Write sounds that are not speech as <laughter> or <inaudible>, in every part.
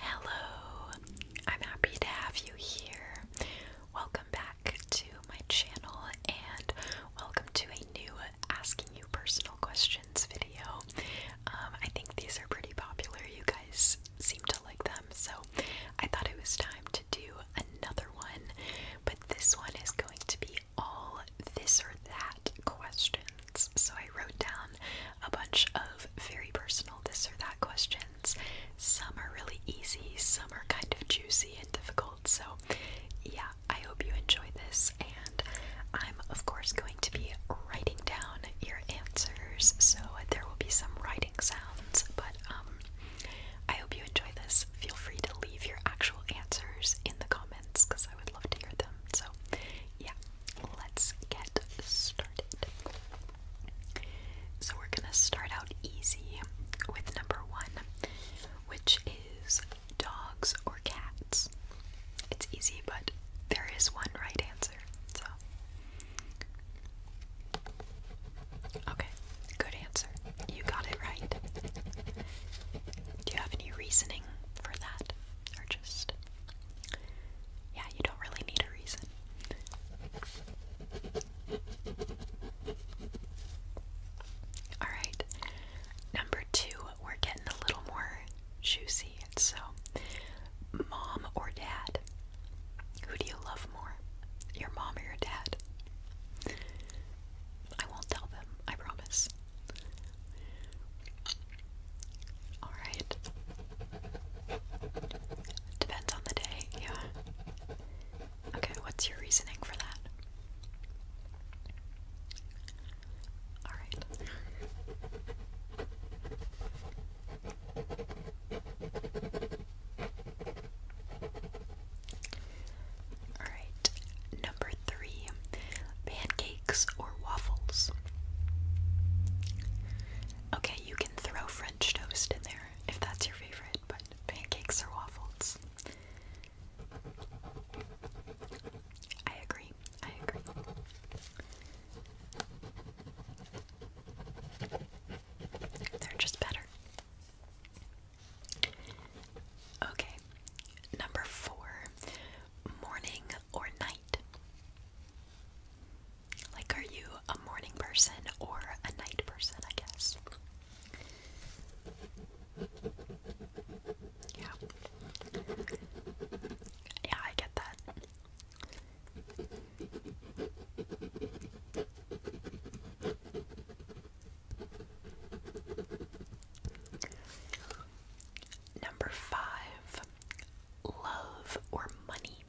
Hello, I'm happy to have you here. Welcome back to my channel and welcome to a new Asking You Personal Questions video. Um, I think these are pretty popular, you guys seem to like them, so I thought it was time to do another one, but this one is going to be all this or that questions. So I wrote down a bunch of very personal this or that questions. Some are really easy, some are kind of juicy and difficult. So, yeah, I hope you enjoy this. And I'm, of course, going to be writing down your answers. So there will be some writing sounds. But um, I hope you enjoy this. Feel free to leave your actual answers in the comments because I would love to hear them. So, yeah, let's get started. So, we're gonna start out easy with number one, which is dogs or cats. It's easy, but there is one right answer, so. Okay, good answer. You got it right. Do you have any reasoning for that? Or just yeah, you don't really need a reason. Alright, number two, we're getting a little more juicy. So, mom or dad? Who do you love more? Your mom or your dad? I won't tell them, I promise. Alright. Depends on the day, yeah. Okay, what's your reasoning for that? Alright. Alright, number three pancakes or waffles. Okay, you can throw French toast in there if that's your favorite, but pancakes or waffles. I agree. I agree. They're just better. Okay, number four morning or night? Like, are you a morning person or a night person, I guess? Yeah. Yeah, I get that. Number five, love or money?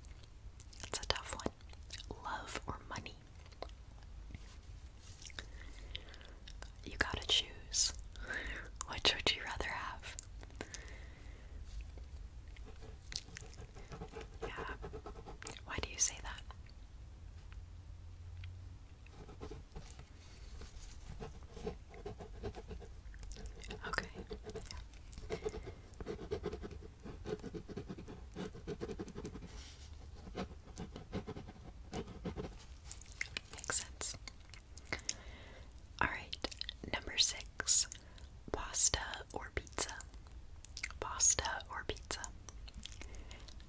That's a tough one. Love or money? You gotta choose. <laughs> Which would you rather have? Yeah. Why do you say that? Okay. Makes sense. Alright, number six pasta or pizza. Pasta or pizza.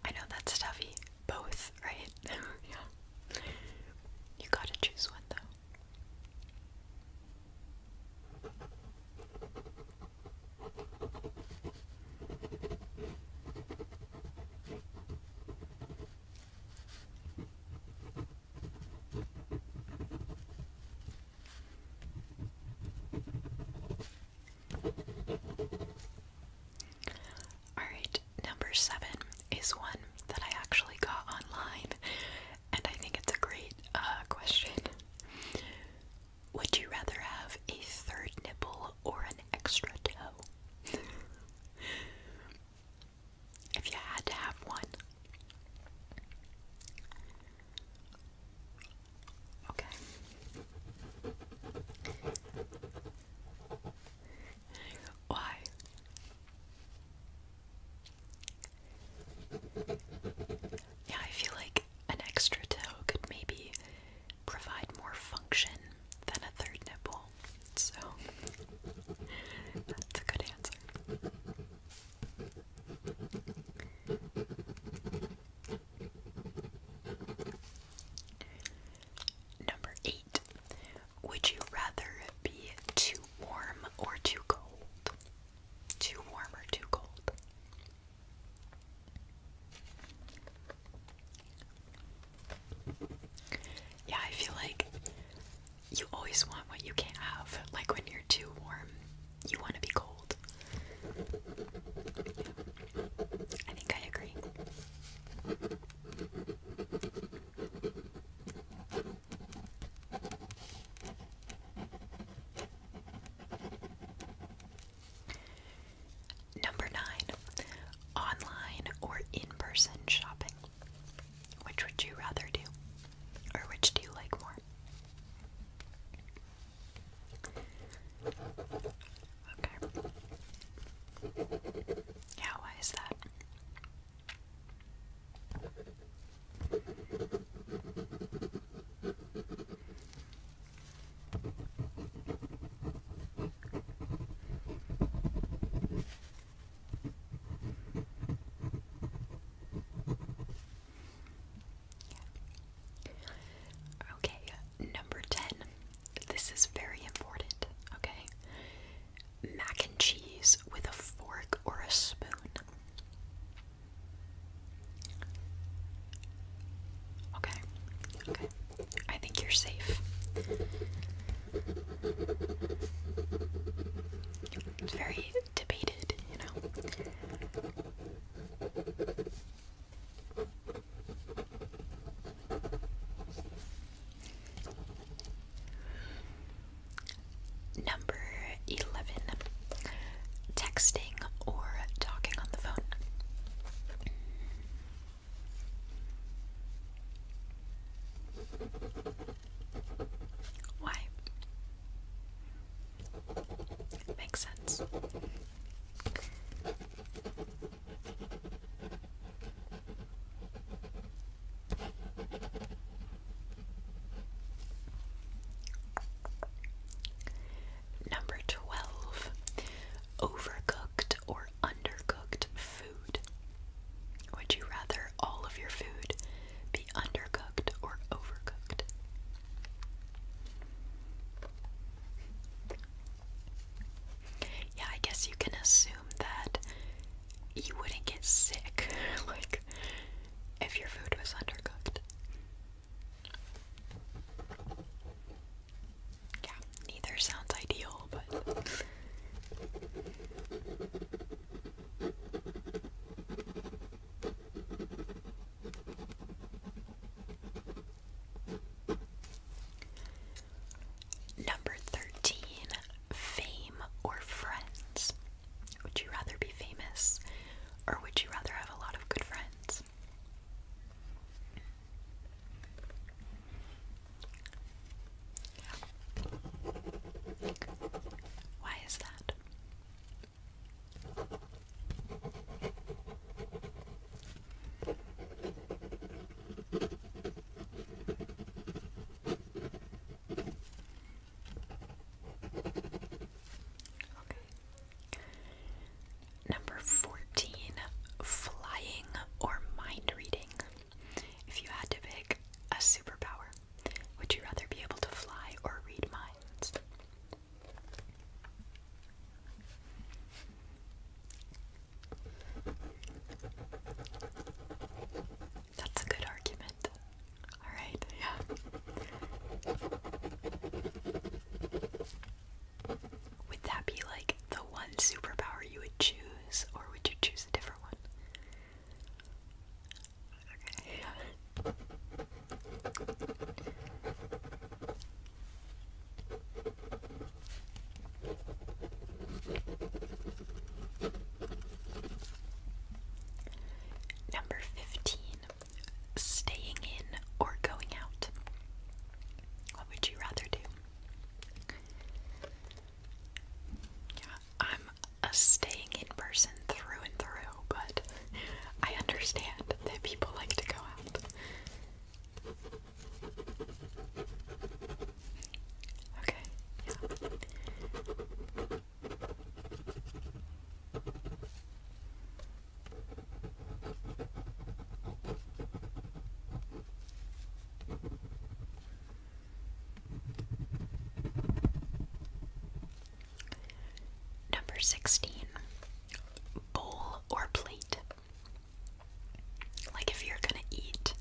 I know that's a Both, right? <laughs> yeah. You gotta choose one though. Alright, number seven is one that I actually got online and I think it's a great uh, question. Would you rather have a third nipple or an extra toe? <laughs> if you had to have one. Okay. Why? Yeah, I feel like an extra toe could maybe provide more function than a third nipple. So that's a good answer. Number eight. Would you rather be too warm or too cold? Too warm or too cold? Yeah, I feel like you always want what you can't have. Like when you're too warm, you want to be cold. I think I agree. Number nine, online or in person shopping. Which would you rather do? Or which do you like more? Okay. Yeah, why is that? Okay, number 10. This is very important, okay? Mac and cheese with a fork or a spoon. Okay, okay. I think you're safe. It's very debated, you know. Number 11 texting or talking on the phone. Why? Makes sense. Number 12. Overcooked or undercooked food. Would you rather all of your food be undercooked or overcooked? Yeah, I guess you can assume that you wouldn't get sick. <laughs> like if your food was undercooked. Yeah, neither sounds ideal, but. Number 13 Fame or Friends. Would you rather be famous or would you rather have a lot of good friends? Why is that? Okay. Number 14 Flying or Mind Reading. If you had to pick a superpower, would you rather be able to fly or read minds? That's a good argument. Alright, yeah. Would that be like the one superpower you would choose, or would you choose a different one? Okay, Number 15 staying in or going out? What would you rather do? Yeah, I'm a staying in person through and through, but I understand that people like to go out. Okay. Number 16. Bowl or plate. Like if you're gonna eat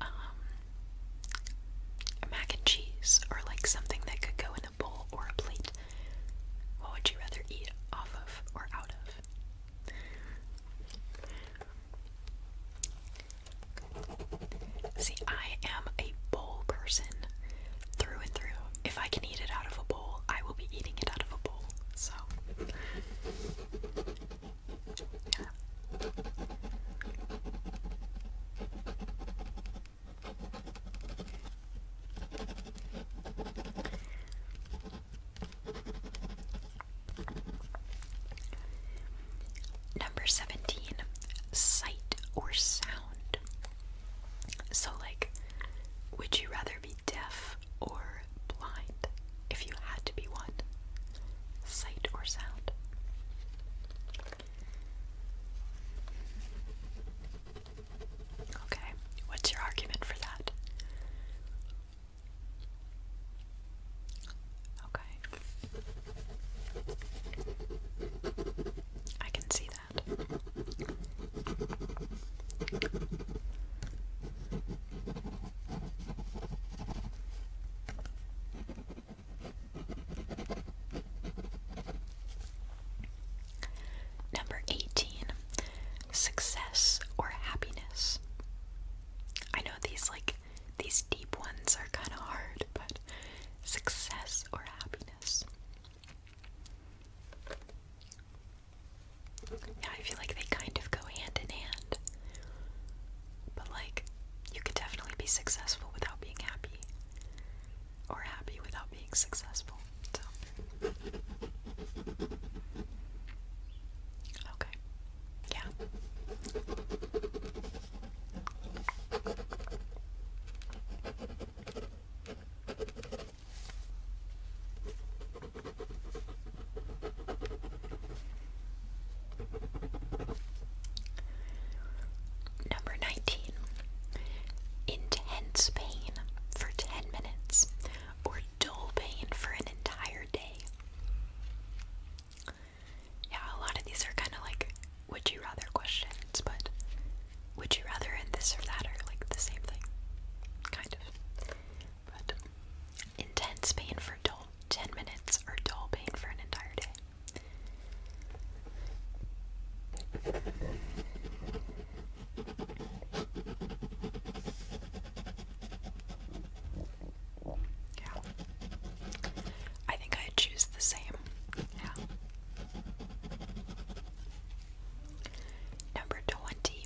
um, mac and cheese or like something that could go a bowl or a plate? What would you rather eat off of or out of? See, I am a bowl person through and through. If I can eat it out of a bowl, I will be eating it out of a bowl. So, yeah. Number 17, sight or sound. So, like, would you rather be deaf or blind if you had to be one? Sight or sound? Okay, what's your argument for that? Okay. I can see that. Number 18 Success or Happiness. I know these, like, these deep ones are kind of hard, but success or happiness. Yeah, I feel like they kind of go hand in hand. But, like, you could definitely be successful without being happy or happy without being successful. So. Okay. Yeah. Number 19. Intense pain for 10 minutes or dull pain for an entire day. Yeah, a lot of these are kind of like would you rather questions, but would you rather this or that are like the same thing. Kind of. But intense pain for dull 10 minutes or dull pain for an entire day. Yeah. I think I'd choose the same. Yeah. Number 20.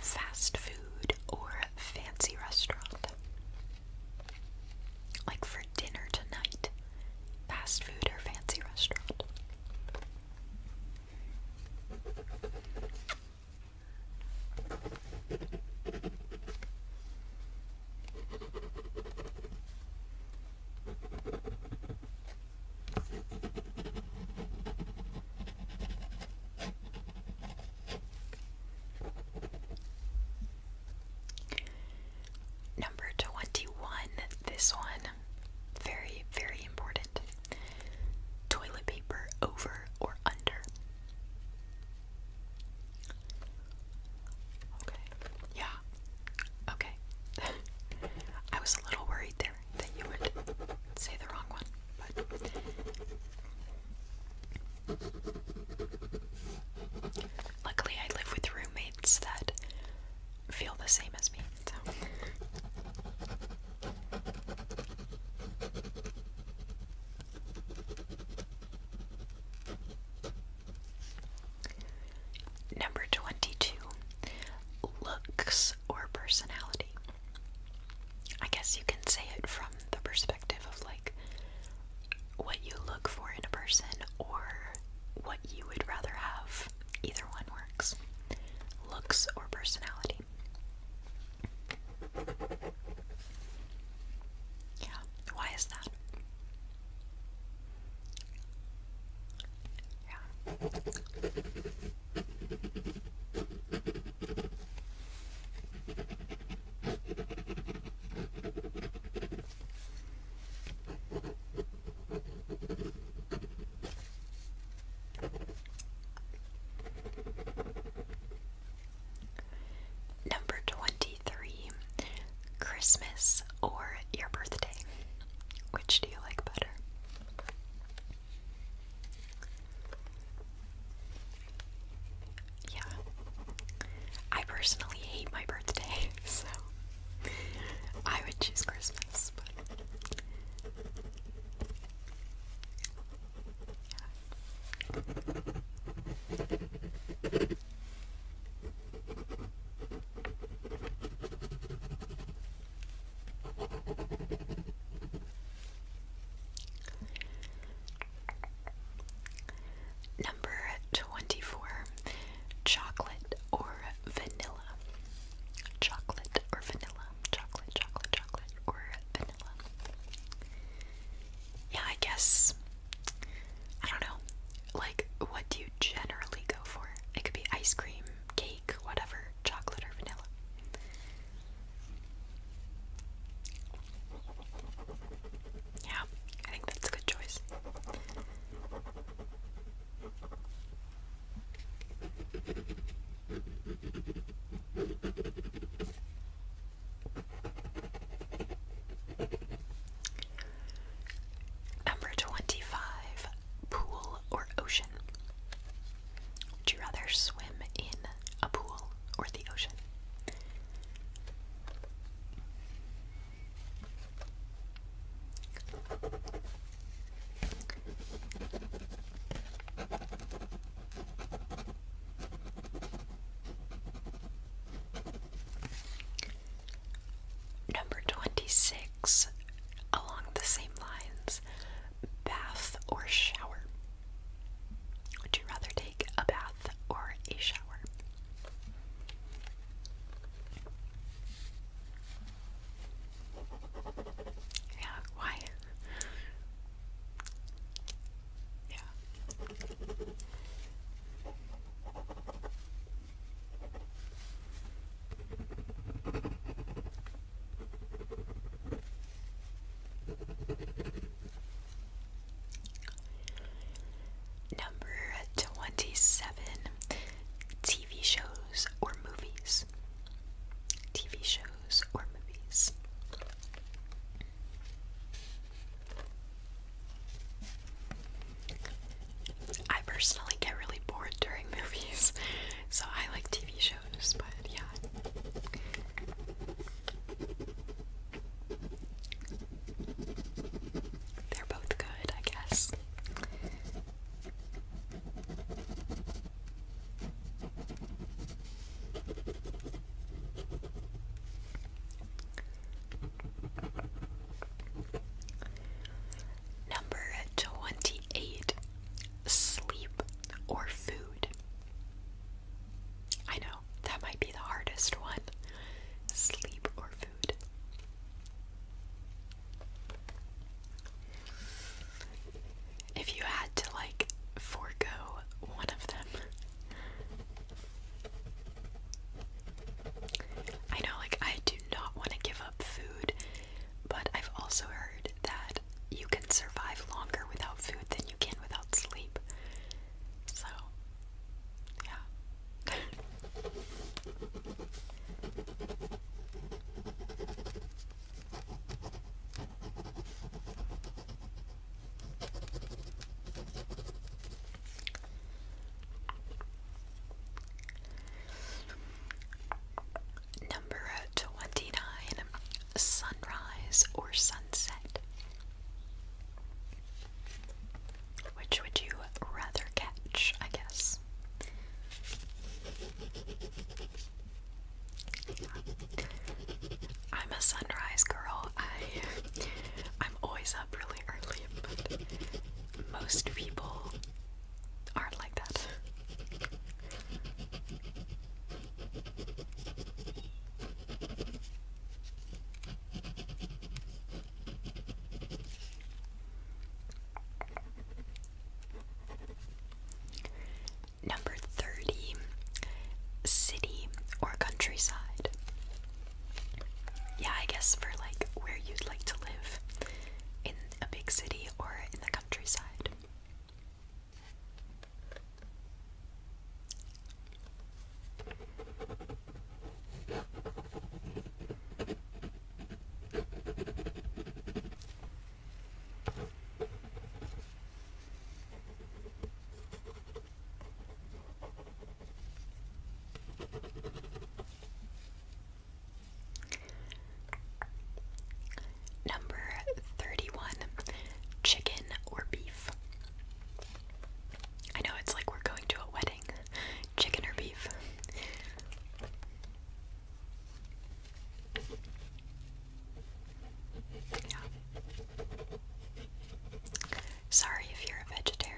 Fast food or fancy restaurant. Like for dinner tonight fast food or fancy restaurant. Number 21, this one, very, very important. Toilet paper over or under? Okay, yeah, okay. <laughs> I was a little worried there that you would say the wrong one, but. Luckily, I live with roommates that feel the same as me. So. Number 22 looks or personality. I guess you can say it from the perspective of like what you look for in a person or what you would rather have. Either one works. Looks or personality. Yeah, why is that? Yeah. Number 23 Christmas or your birthday. Which do you like better? Yeah. I personally hate my birthday, <laughs> so I would choose Christmas, Number 24 chocolate or vanilla. Chocolate or vanilla. Chocolate, chocolate, chocolate, or vanilla. Yeah, I guess. I don't know. Like, what do you generally go for? It could be ice cream, cake, whatever, chocolate or vanilla. Yeah, I think that's a good choice. Number 25 Pool or Ocean. Would you rather swim in a pool or the ocean? Number 26, along the same lines, bath or shower. Would you rather take a bath or a shower? Yeah, quiet. Yeah. Number twenty seven. T TV shows or movies. TV shows or movies. I personally get really bored during <laughs> movies, so I like TV shows, but yeah. They're both good, I guess. Number 28 Sleep or Food. I know that might be the hardest one. Sleep or if you had to like forego one of them. I know, like, I do not want to give up food, but I've also heard that you can survive longer without food than you can without sleep. So, yeah, Number 29 Sunrise or Sunset. Which would you rather catch, I guess? I'm a sunrise girl. I'm always up really early, but most people aren't like that. Number 30 City or countryside. Yeah, I guess for like where you'd like to live in a big city or in the countryside. Number 31 Chicken or beef. I know it's like we're going to a wedding. Chicken or beef? Sorry if you're a vegetarian.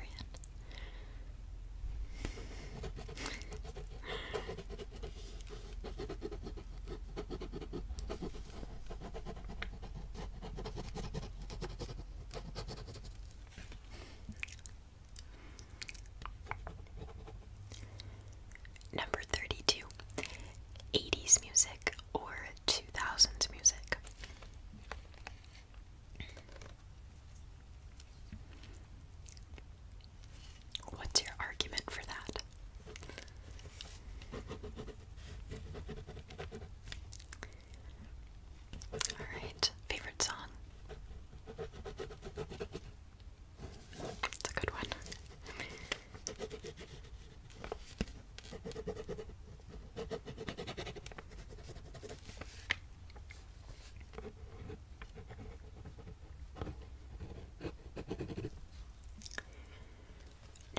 Number 32 80s music or 2000s music. What's your argument for that? All right, favorite song. It's a good one.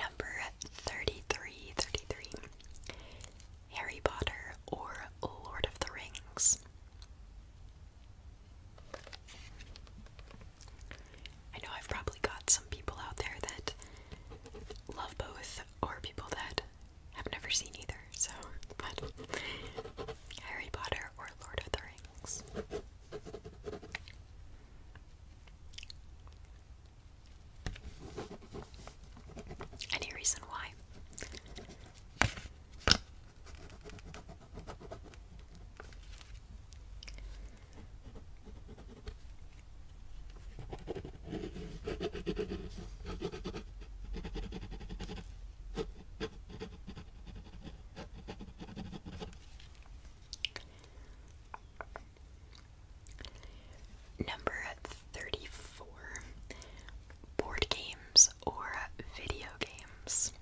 Number 33, Harry Potter or Lord of the Rings. I know I've probably got some people out there that love both, or people that have never seen either, so, Harry Potter or Lord of the Rings. Any reason why? Number 34 board games or video games?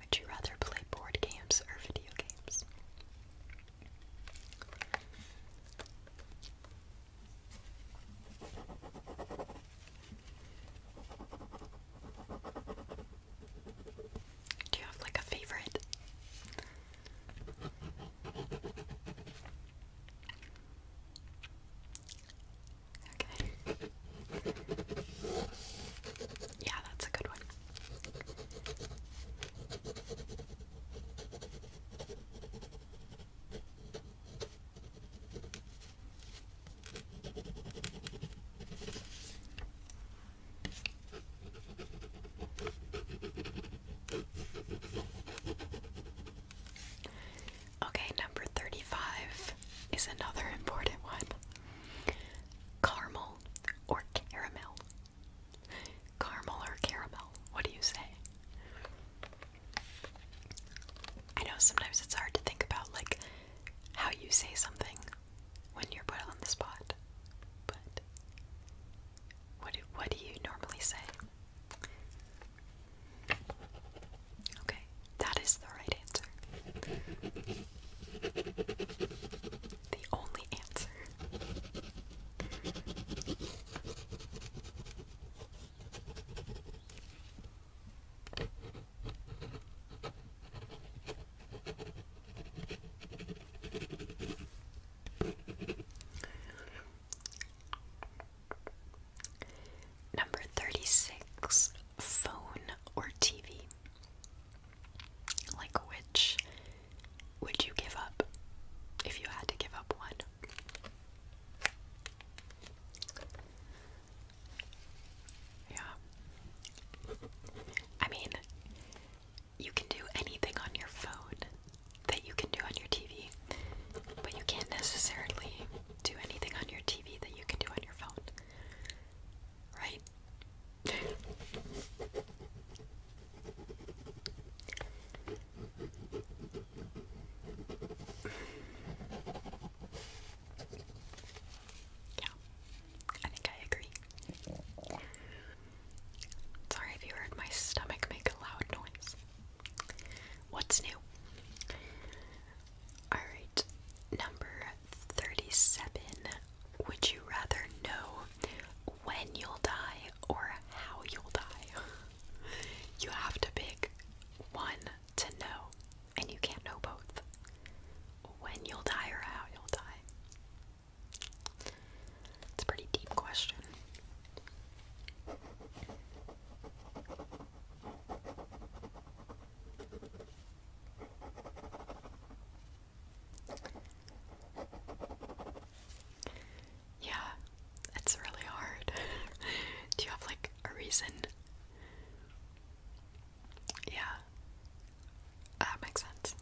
Would you rather play board games or video games? Do you have like a favorite? Okay. Yeah, that's a good one. Okay, number 35 is another important one. Caramel or caramel? Caramel or caramel? What do you say? I know sometimes it's hard to think about like how you say something when you're put on the spot. But what what do you normally say? Okay, that is the right answer. The only answer. Number 36 Phone or TV? Like, which would you give up if you had to give up one? Yeah. I mean, you can do anything on your phone that you can do on your TV, but you can't necessarily do anything on your TV that you can do on your phone. Right? yeah, I think I agree. Sorry if you heard my stomach make a loud noise. What's new? Alright, number 37. Would you rather know when you'll die or how you'll die? <laughs> you have to pick one to know, and you can't know both. When you'll die or how you'll die. It's a pretty deep question. Yeah, it's really hard. <laughs> Do you have like a reason? Yeah, that makes sense.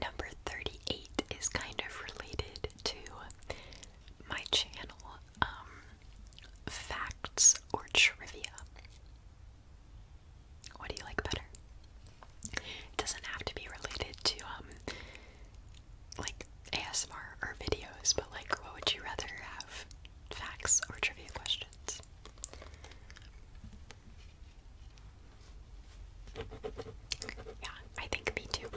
Number 38 is kind of related to my channel, um, facts or trivia. What do you like better? It doesn't have to be related to, um, like ASMR or videos, but like, what would you rather have? Facts or trivia questions? Yeah, I think me too.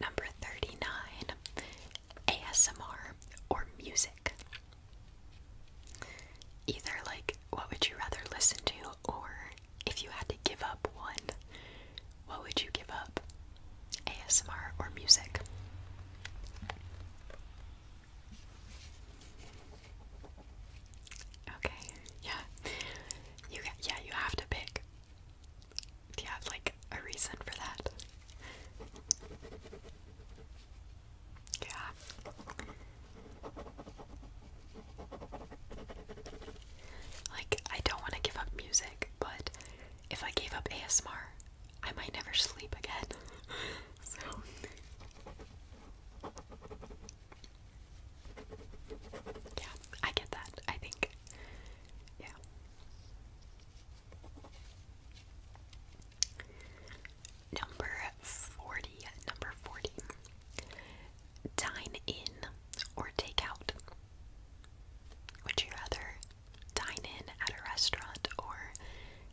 Number 39 ASMR or music. Either, like, what would you rather listen to, or if you had to give up one, what would you give up? ASMR or music? Okay, yeah. You yeah, you have to pick. Do you have like a reason for that? Yeah. Like I don't want to give up music, but if I gave up ASMR, I might never sleep again. <laughs> so yeah, I get that, I think. Yeah. Number 40. Number 40. Dine in or take out? Would you rather dine in at a restaurant or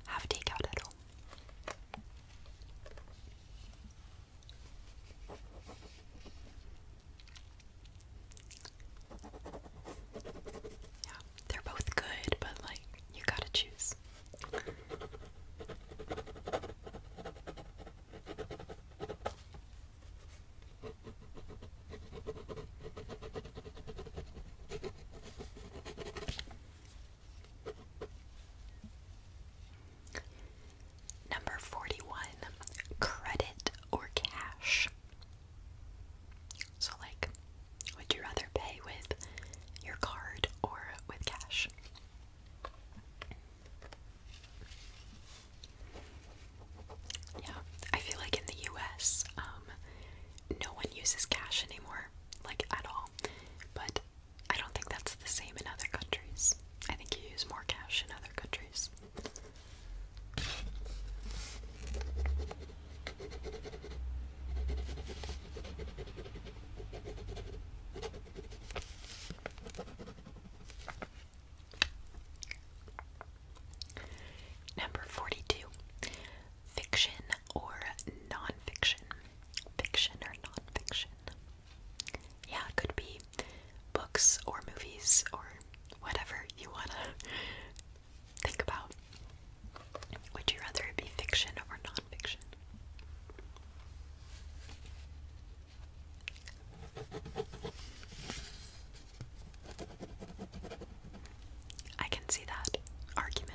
have takeout at home? Yeah, they're both good, but like, you gotta choose. Number 41, credit or cash. So, like, would you rather pay with your card or with cash? Yeah, I feel like in the US, um, no one uses cash anymore, like at all. But I don't think that's the same in other countries. I think you use more cash in other countries. Number 42. Fiction or nonfiction fiction or nonfiction. Yeah, it could be books or movies or whatever you want to <laughs> think about. Would you rather it be fiction or nonfiction? I can see that argument.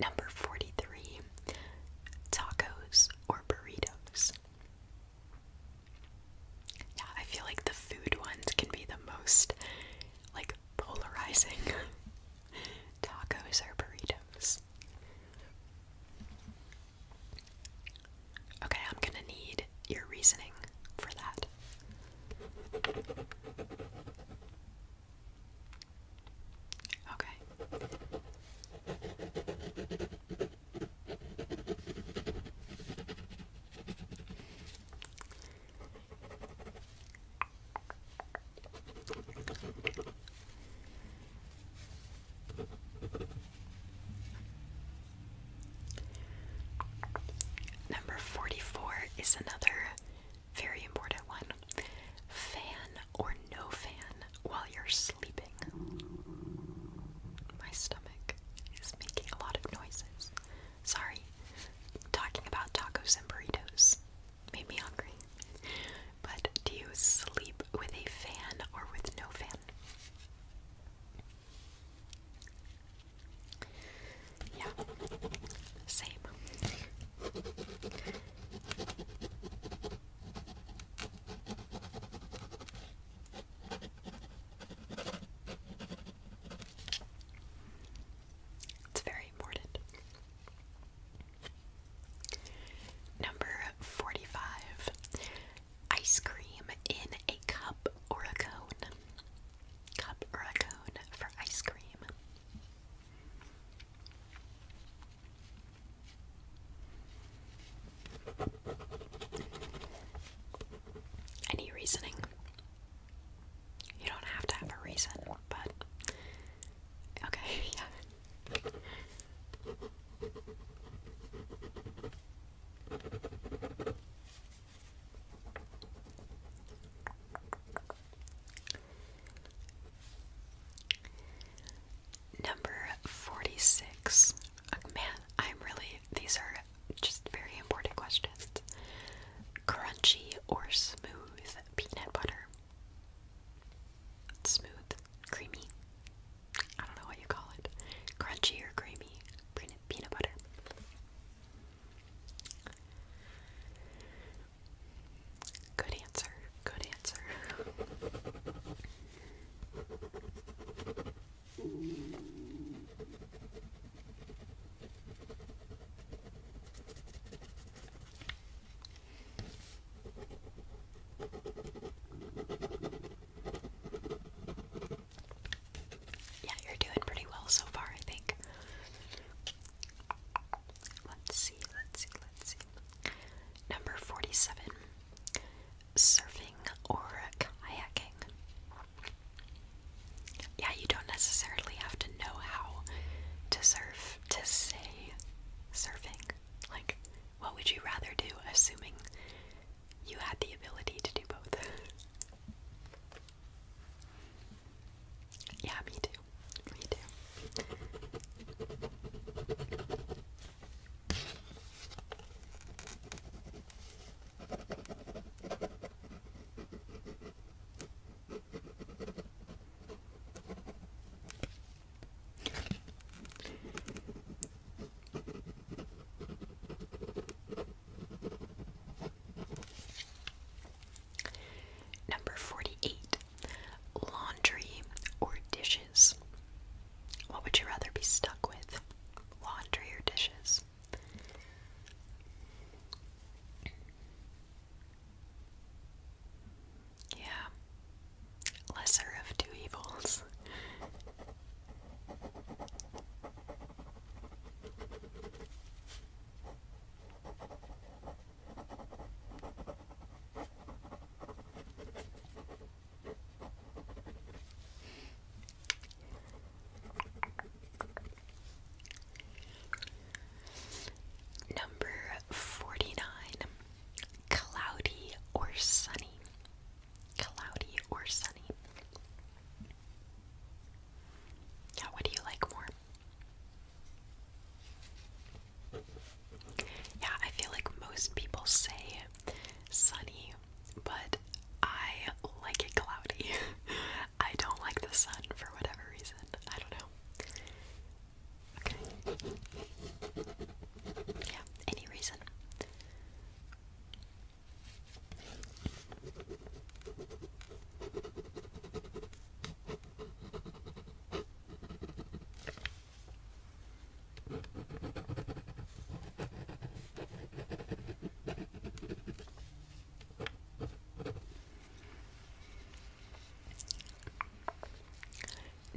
Number 43 Tacos or Burritos. Yeah, I feel like the food ones can be the most like polarizing <laughs> tacos or burritos. Okay, I'm gonna need your reasoning for that. Okay. Number 44 is another very important one. Fan or no fan while you're sleeping. My stomach is making a lot of noises. Sorry. Talking about tacos and burritos made me hungry. But do you sleep with a fan or with no fan? Yeah, same. It's very important. Number 45 Ice cream in a cup or a cone. Cup or a cone for ice cream. Any reasoning? You don't have to have a reason, but okay, <laughs> yeah. Number 46. Uh, man, I'm really, these are just very important questions. Crunchy or smooth peanut butter? Smooth, creamy. I don't know what you call it. Crunchy or creamy peanut butter. Good answer. Good answer. Yeah, you're doing pretty well so far, I think. Let's see, let's see, let's see. Number 47 Surfing or kayaking. Yeah, you don't necessarily have to know how to surf to say surfing. Like, what would you rather do, assuming you had the ability to do both? <laughs> yeah, me too. Me too. Number 48 Laundry or dishes. What would you rather be stuck with? Laundry or dishes? Yeah. Lesser of two evils. Number 49. Cloudy or sunny. Cloudy or sunny. Now, what do you like more? Yeah, I feel like most people say sunny, but I like it cloudy. <laughs> I don't like the sun for whatever reason. I don't know. Okay. Yeah, any reason.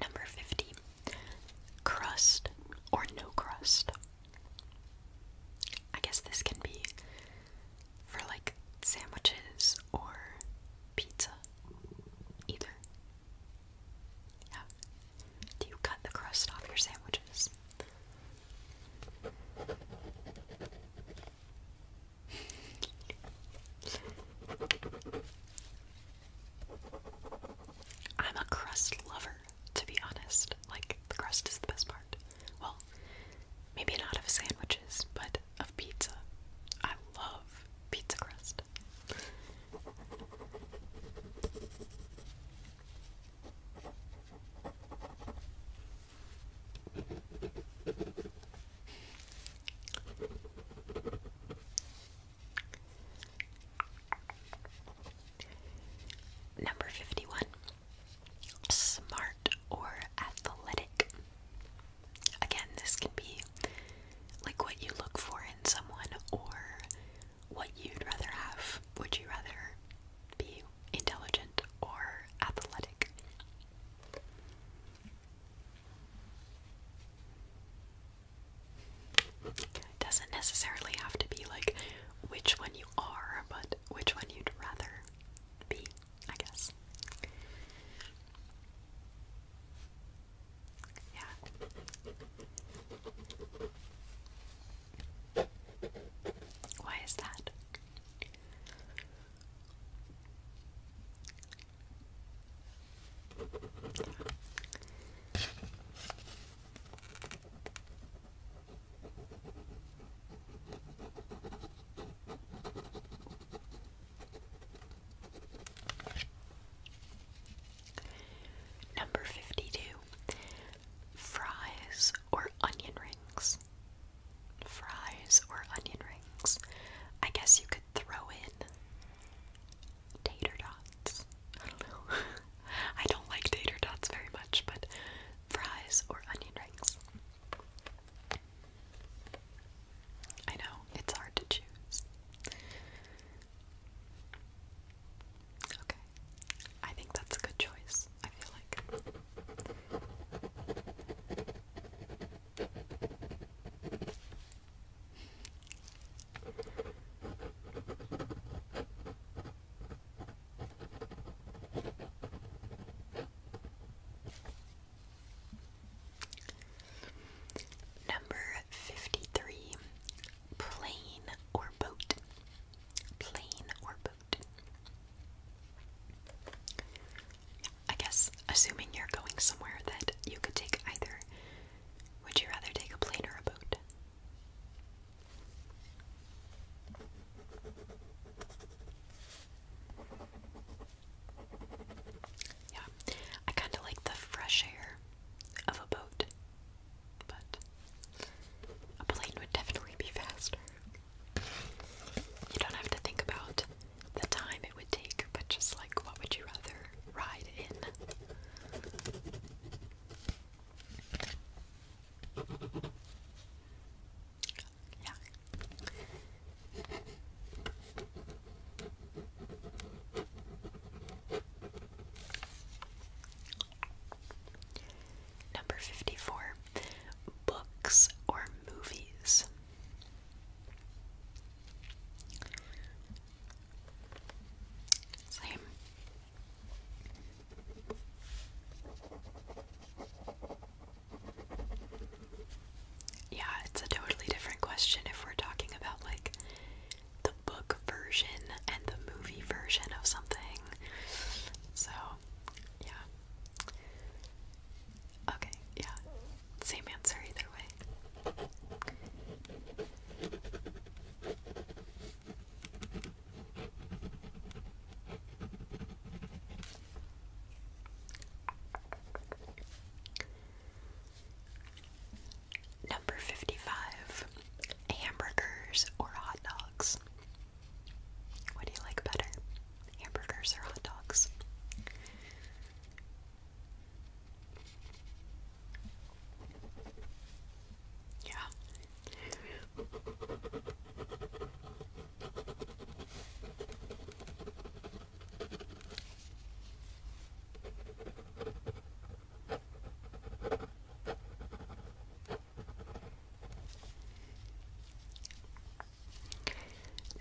Number 50. Crust or no crust. I guess this can be for like sandwiches or pizza. Either. Yeah. Do you cut the crust off your sandwiches? I'm a crust lover, to be honest. Like, the crust is the best part. Well, maybe not of sandwiches, but of pizza. I love pizza crust. Number 51. Smart or athletic. Again, this can be like what you look for in someone or what you'd rather have. Would you rather be intelligent, or athletic. doesn't necessarily have to be like which one you are, but which one you'd rather be, I guess. Yeah. Why is that? Number 52 Fries or Onion Rings fries or onion rings. I guess you could throw in tater dots. <laughs> I don't like tater dots very much, but fries or onion rings. I know, it's hard to choose. Okay, I think that's a good choice. Number fifty three. Plane or boat? Plane or boat? I guess, assuming you're going somewhere that you could take either, would you rather take a plane or a boat? Yeah, I kind of like the fresh air of a boat, but a plane would definitely be faster. You don't have to think about the time it would take, but just like what would you rather ride in? Yeah. Number 54 Books or Movies. Same. Yeah, it's a totally different question if we're talking about like the book version and the movie version of something. So, yeah. Okay, yeah. Same answer either way. Number 55 hamburgers or hot dogs. What do you like better, hamburgers or hot dogs? Yeah.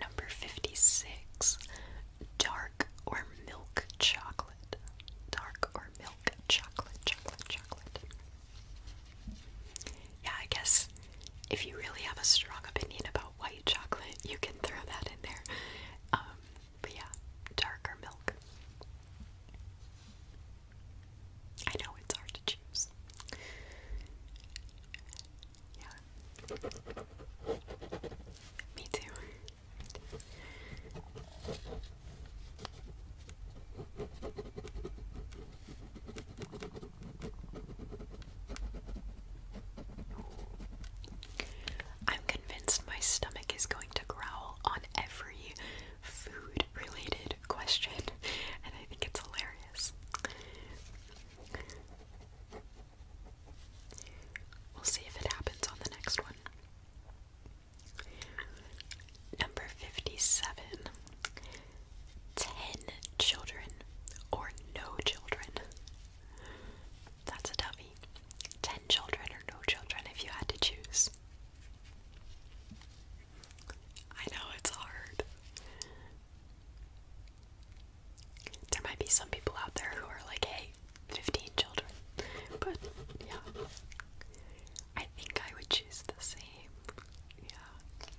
Number 56. Dark or milk chocolate. Dark or milk chocolate, chocolate, chocolate. Yeah, I guess if you really have a strong opinion about white chocolate, you can throw that in there. Um, but yeah, dark or milk. I know it's hard to choose. Me too. I'm convinced my stomach is going to growl on every food related question, <laughs> and I think it's hilarious. We'll see if it happens on the next one. Number 57 10 children or no children. That's a dummy. 10 children or no children if you had to choose. I know it's hard. There might be some people out there who are like, hey, 15 children. But yeah, I think I would choose the same. Yeah.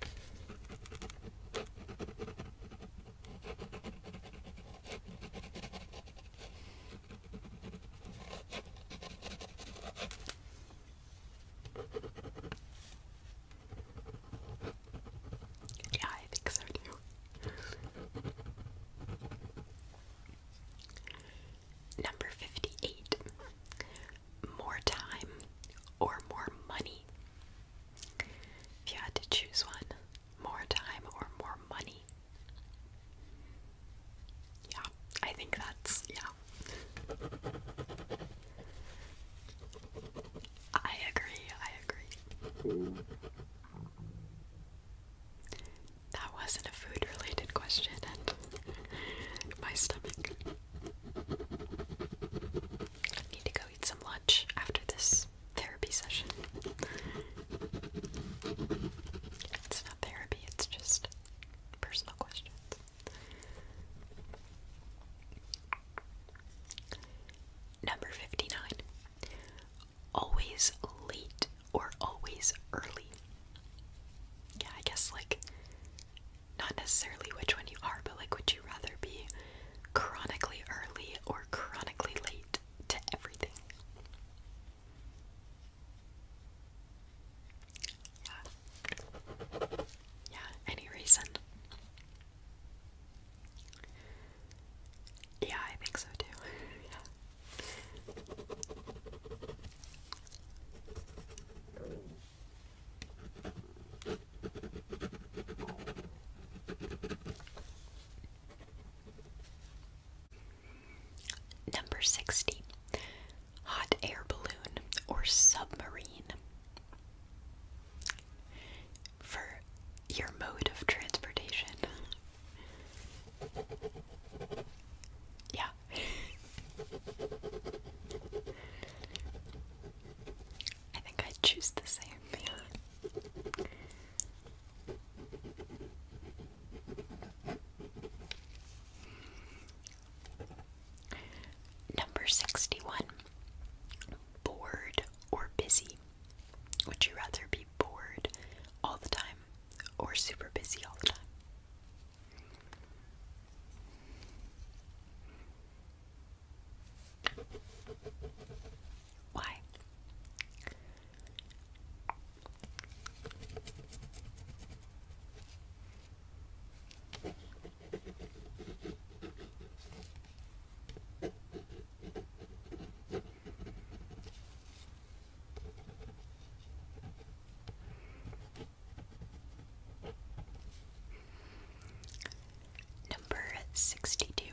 Yeah, I think so too. Number 58. More time or more money? If you had to choose one, more time or more money? Yeah, I think that's, yeah. I agree, I agree. That wasn't a food related question, and <laughs> my stomach. I need to go eat some lunch after this therapy session. It's not therapy, it's just personal questions. Number 59. Always late or always early. Yeah, I guess like not necessarily which one you are, but like would you rather be chronically early or chronically late to everything? Yeah. Yeah, any reason. Yeah, I think so too. <laughs> Number 60. Hot air balloon or submarine for your mode of transportation. Yeah. I think i choose the same, Number 61 bored or busy? Would you rather be bored all the time or super busy all the time? Why? Number 62.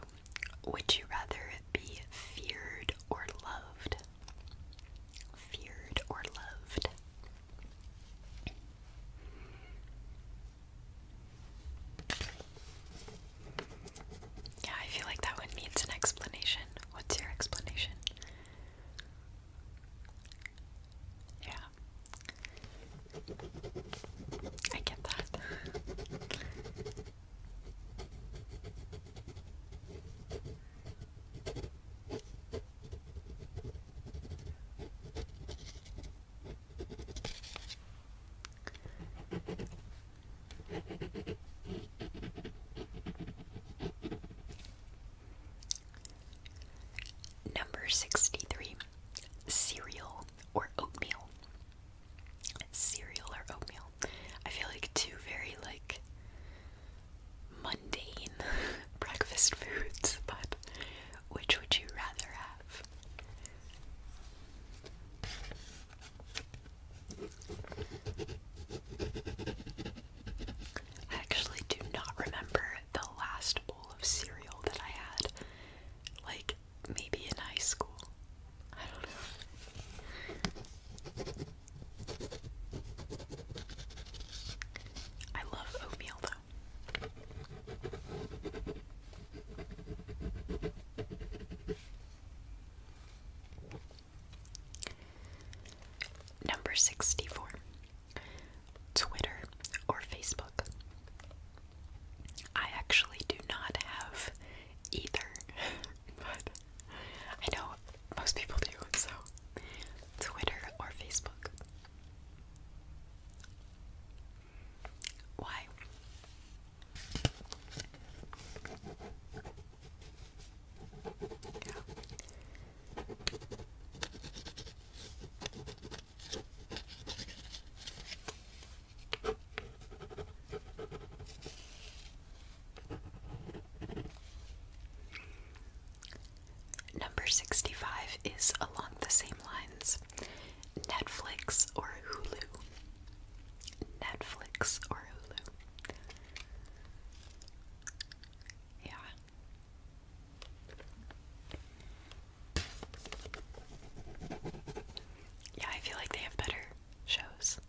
Would you rather be feared or loved? Feared or loved? Yeah, I feel like that one needs an explanation. What's your explanation? Yeah. I get that. Number 63 Cereal or Oatmeal. Cereal or oatmeal. I feel like two very like mundane <laughs> breakfast foods, but which would you rather have? I actually do not remember the last bowl of cereal that I had. Like, maybe in high school. I don't know. I love oatmeal though. Number 64 Twitter or Facebook. I actually do not have either, <laughs> but I know most people do, so Twitter or Facebook. Why? Number 65 is along the same lines. Netflix or Hulu? Netflix or Hulu? Yeah. Yeah, I feel like they have better shows.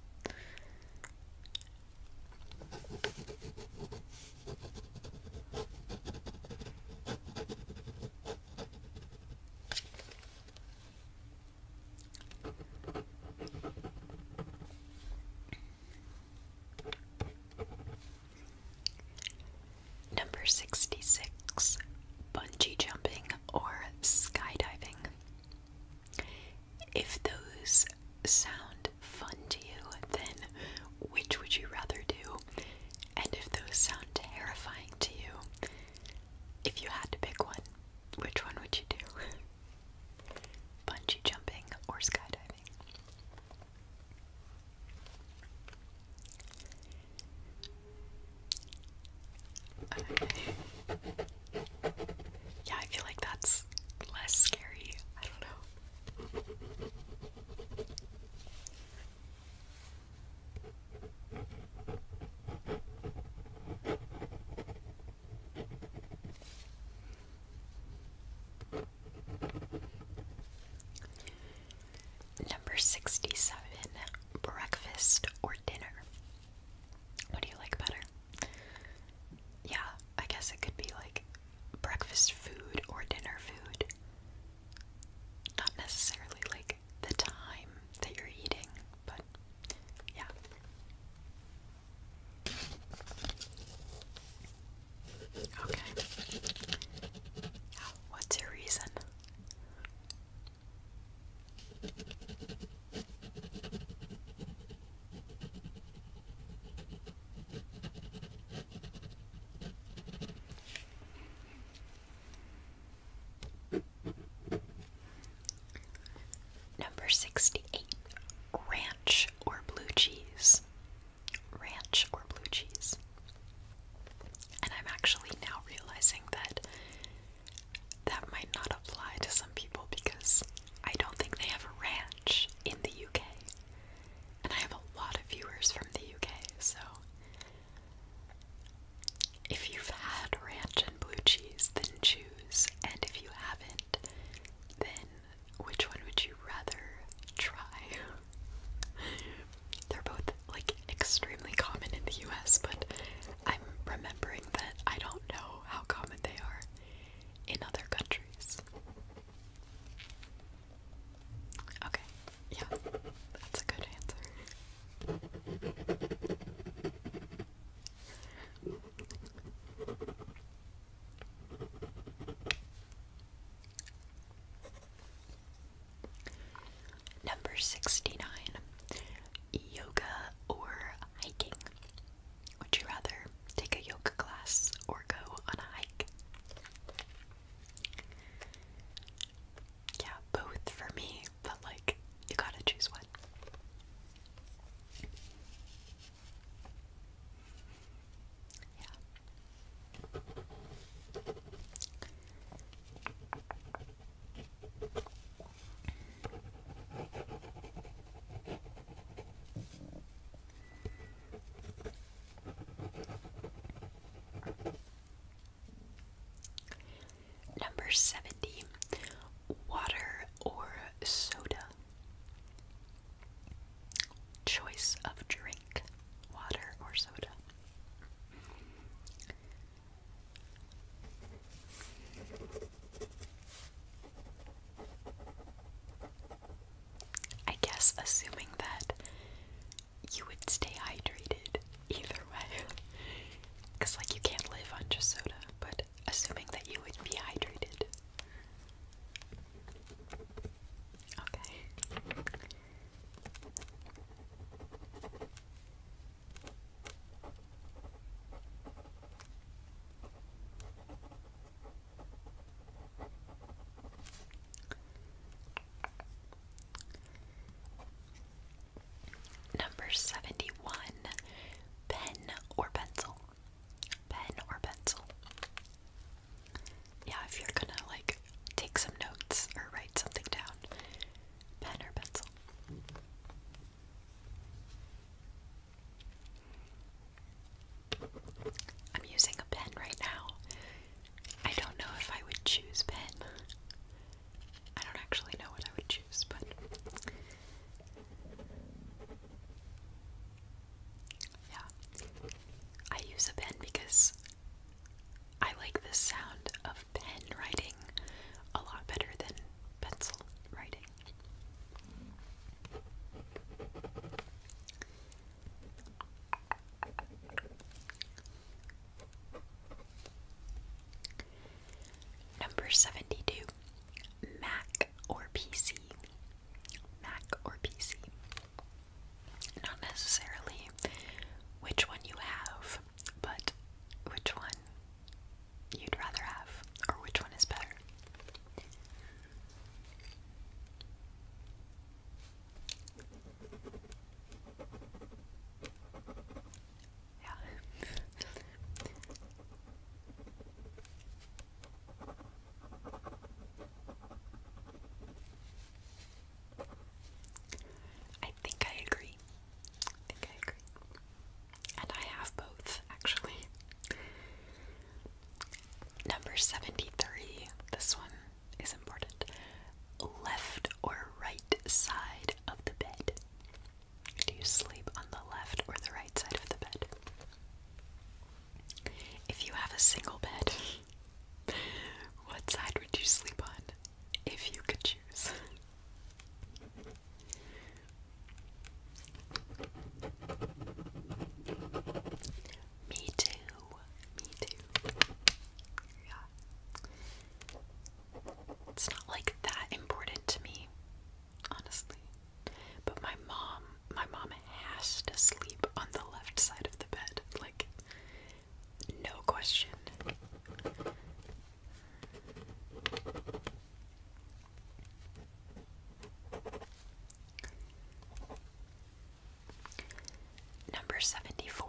Number 66 Bungee jumping or skydiving. If those sound fun to you, then which would you rather do? And if those sound terrifying to you, if you had to pick one, which one would you do? <laughs> Bungee jumping or skydiving? Yeah, I feel like that's less scary. I don't know. Number 67 breakfast or dinner. What do you like better? Yeah, I guess it could be like breakfast food or dinner food. Not necessarily like the time that you're eating, but yeah. Okay. What's your reason? Number 68 Ranch or Blue Cheese. Ranch or Blue Cheese. And I'm actually now realizing that that might not apply to some people because I don't think they have a ranch in the UK. And I have a lot of viewers from the UK, so if you've had ranch and blue cheese, then choose. And if you haven't, then which one would you rather try? They're both like extremely common in the US, but I'm remembering that I don't know how common they are in other countries. Okay, yeah, that's a good answer. Number 69 Yoga or hiking. Would you rather take a yoga class or go on a hike? Yeah, both for me but like you gotta choose one. Yeah. Number 70. Water or soda? Choice of drink. Water or soda? I guess assuming that you would stay hydrated either way. Because, <laughs> like, you can't live on just soda, but assuming that you would be hydrated. Okay. Number 71 Pen or pencil? Pen or pencil? Yeah, if you're gonna like take some notes or write something down, pen or pencil. I'm using a pen right now. I don't know if I would choose pen. I don't actually know what I would choose, but yeah. I use a pen because I like the sound of pen writing a lot better than pencil writing. Number 72 Mac or PC. Mac or PC. Not necessarily which one you have, but which one you'd rather have, or which one is better. I think I agree. I think I agree. And I have both, actually. Number 73, this one is important. Left or right side of the bed? Do you sleep on the left or the right side of the bed? If you have a single bed, <laughs> what side would you sleep on if you could choose? Me too. Me too. Yeah it's not like that important to me, honestly. But my mom, my mom has to sleep on the left side of the bed, like no question. Number 74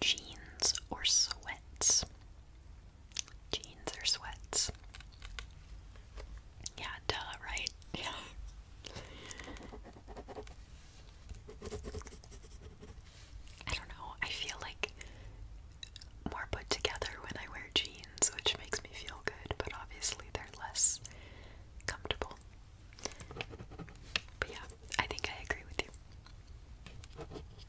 jeans or sweats. Jeans or sweats. Yeah, duh, right? Yeah. I don't know. I feel like more put together when I wear jeans, which makes me feel good, but obviously they're less comfortable. But yeah, I think I agree with you.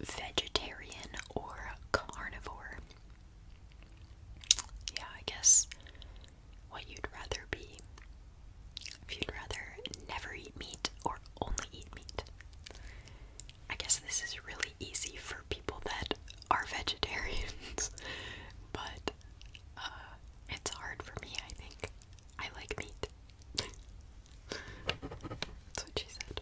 vegetarian or carnivore. Yeah, I guess what you'd rather be. If you'd rather never eat meat or only eat meat. I guess this is really easy for people that are <laughs> vegetarians, but uh, it's hard for me, I think. I like meat. <laughs> That's what she said.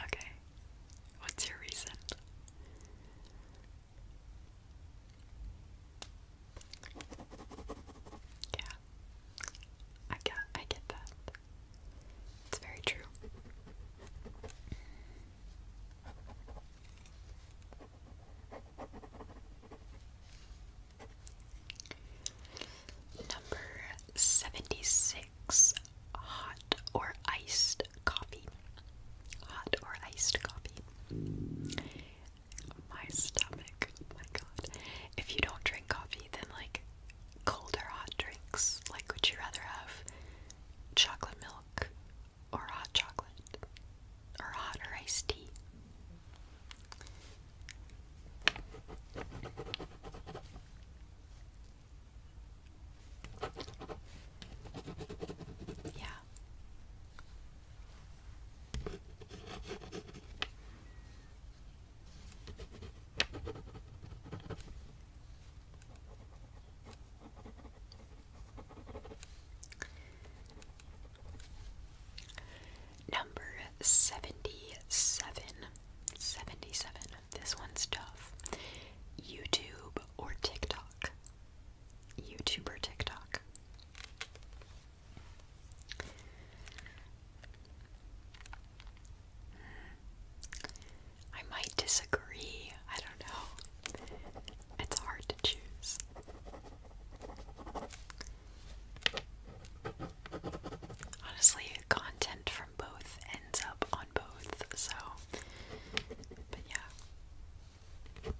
Okay, what's your reason? Yeah, I get, I get that. It's very true. Number 76 Hot or iced coffee. Hot or iced coffee. My stomach, my god. If you don't drink coffee, then like cold or hot drinks. Like, would you rather have chocolate milk or hot chocolate, or hot or iced tea. Yeah. Number 77. This one's tough. YouTube or TikTok? YouTuber TikTok? Hmm. I might disagree. I don't know. It's hard to choose. Honestly, content from both ends up on both, so. But yeah.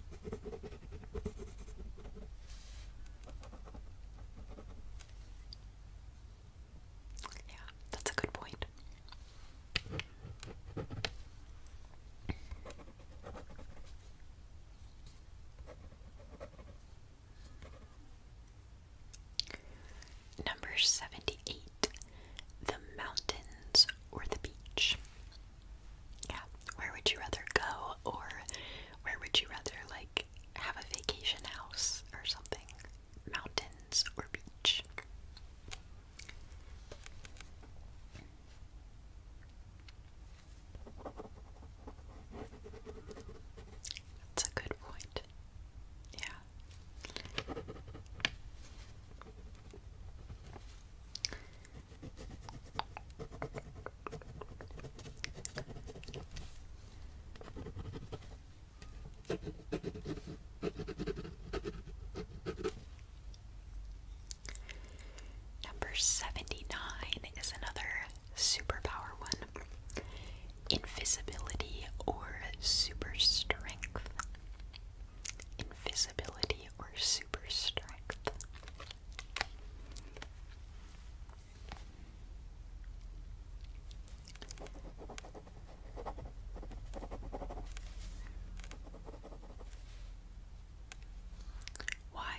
Yeah, that's a good point. Number 78. The mountains or the beach. Yeah, where would you rather go or where would you rather like have a vacation house or something? Mountains or beach? That's a good point. Yeah. Number 79 is another superpower one invisibility or super strength. Invisibility or super strength. Why?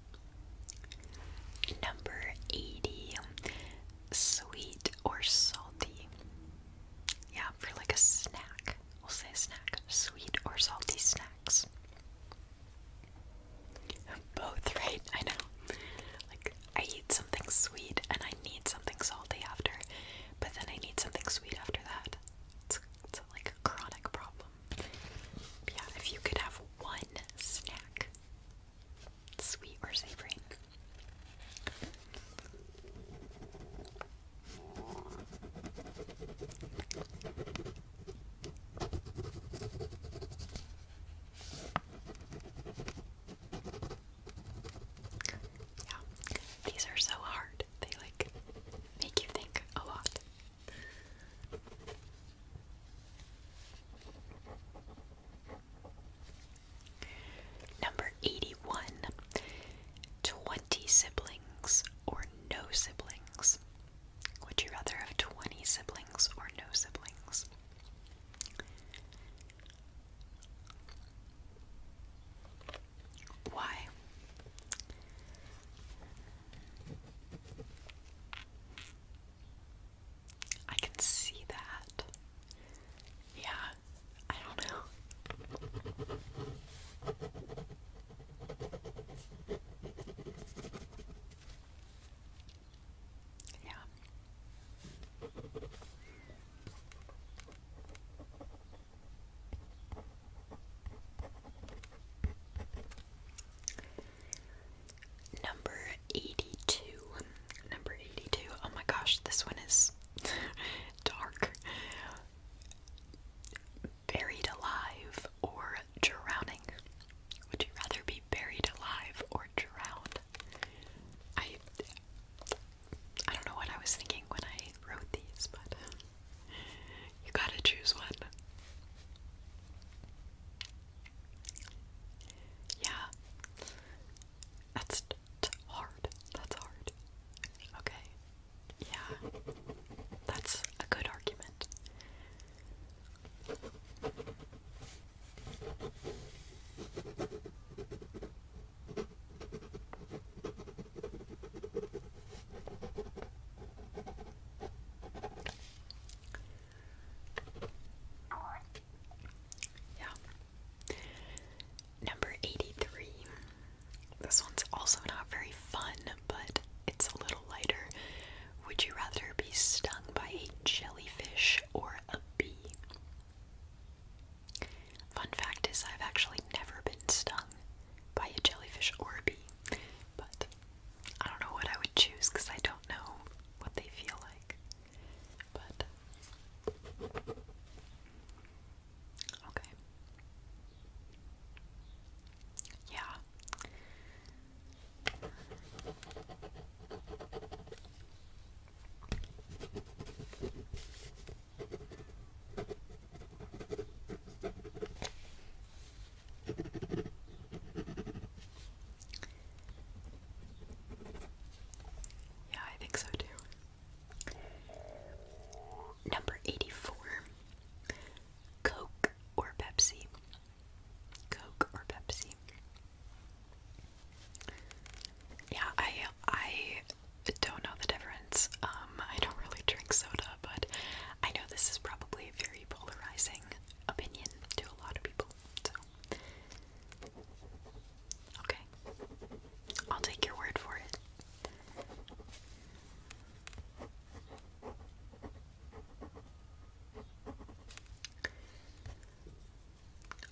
Number 80. Sweet or salty? Yeah, for like a snack. We'll say snack. Sweet or salty snacks. Both, right? I know. Like, I eat something sweet and I need something salty after, but then I need something sweet after that. It's, like a chronic problem. yeah, if you could have one snack, sweet or savory. Yeah, these are so hard. They like make you think a lot. Number 81 20 siblings or no siblings. Would you rather have 20 siblings or no siblings? Why? I can see that. Yeah, I don't know. Yeah. Number 82. Number 82. Oh my gosh, this one is <laughs> dark. Buried alive or drowning? Would you rather be buried alive or drowned? I I don't know what I was thinking when I wrote these, but you gotta choose one. Yeah. That's hard. That's hard. Okay. Yeah. That's a good argument. Yeah. Number 83. This one's also not very fun, but it's a little lighter. Would you rather be stung by a jellyfish or a bee? Fun fact is, I've actually never been stung by a jellyfish or a bee, but I don't know what I would choose because I don't know what they feel like. But okay. Yeah. Yeah, I think so too. Number 84 Coke or Pepsi? Coke or Pepsi? Yeah, I I don't know the difference. Um, I don't really drink soda, but I know this is probably a very polarizing opinion to a lot of people okay, I'll take your word for it.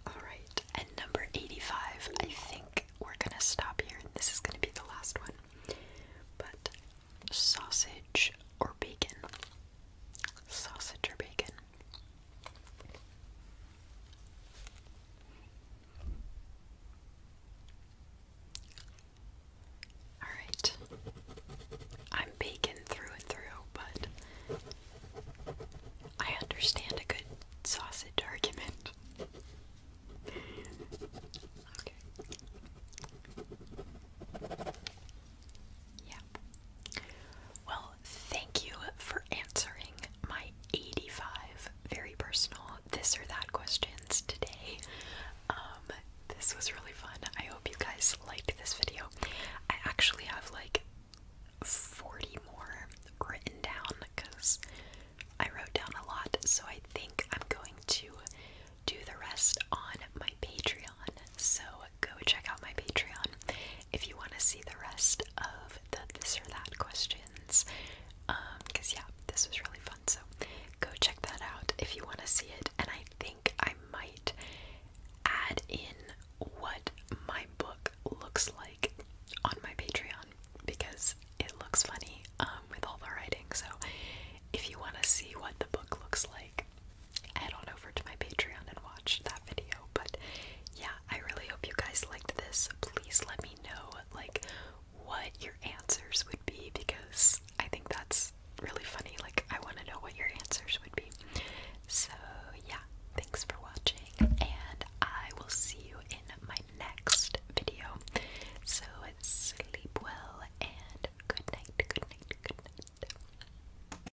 All right, and number 85, I think we're gonna stop here. This is gonna be the last one. But sausage or bacon? Sausage or bacon? All right. I'm bacon through and through, but I understand a good sausage argument. Okay. Yep. Well, thank you for answering my 85 very personal this or that questions today. Um, this was really fun. I hope you guys liked this video. I actually have like 40 more written down because I wrote down a lot, so I think I'm going to do the rest on my Patreon so go check out my Patreon if you want to see the rest of the this or that questions. Because, um, yeah, this was really fun, so go check that out if you want to see it. And I think I might add in what my book looks like on my Patreon because it looks funny um, with all the writing. So, if you want to see what the book looks like, head on over to my Patreon and watch that video. But yeah, I really hope you guys liked this. Please let me know like what your answers would be because I think that's really funny. Like I want to know what your answers would be. So yeah, thanks for watching and I will see you in my next video. So sleep well and good night, good night, good night.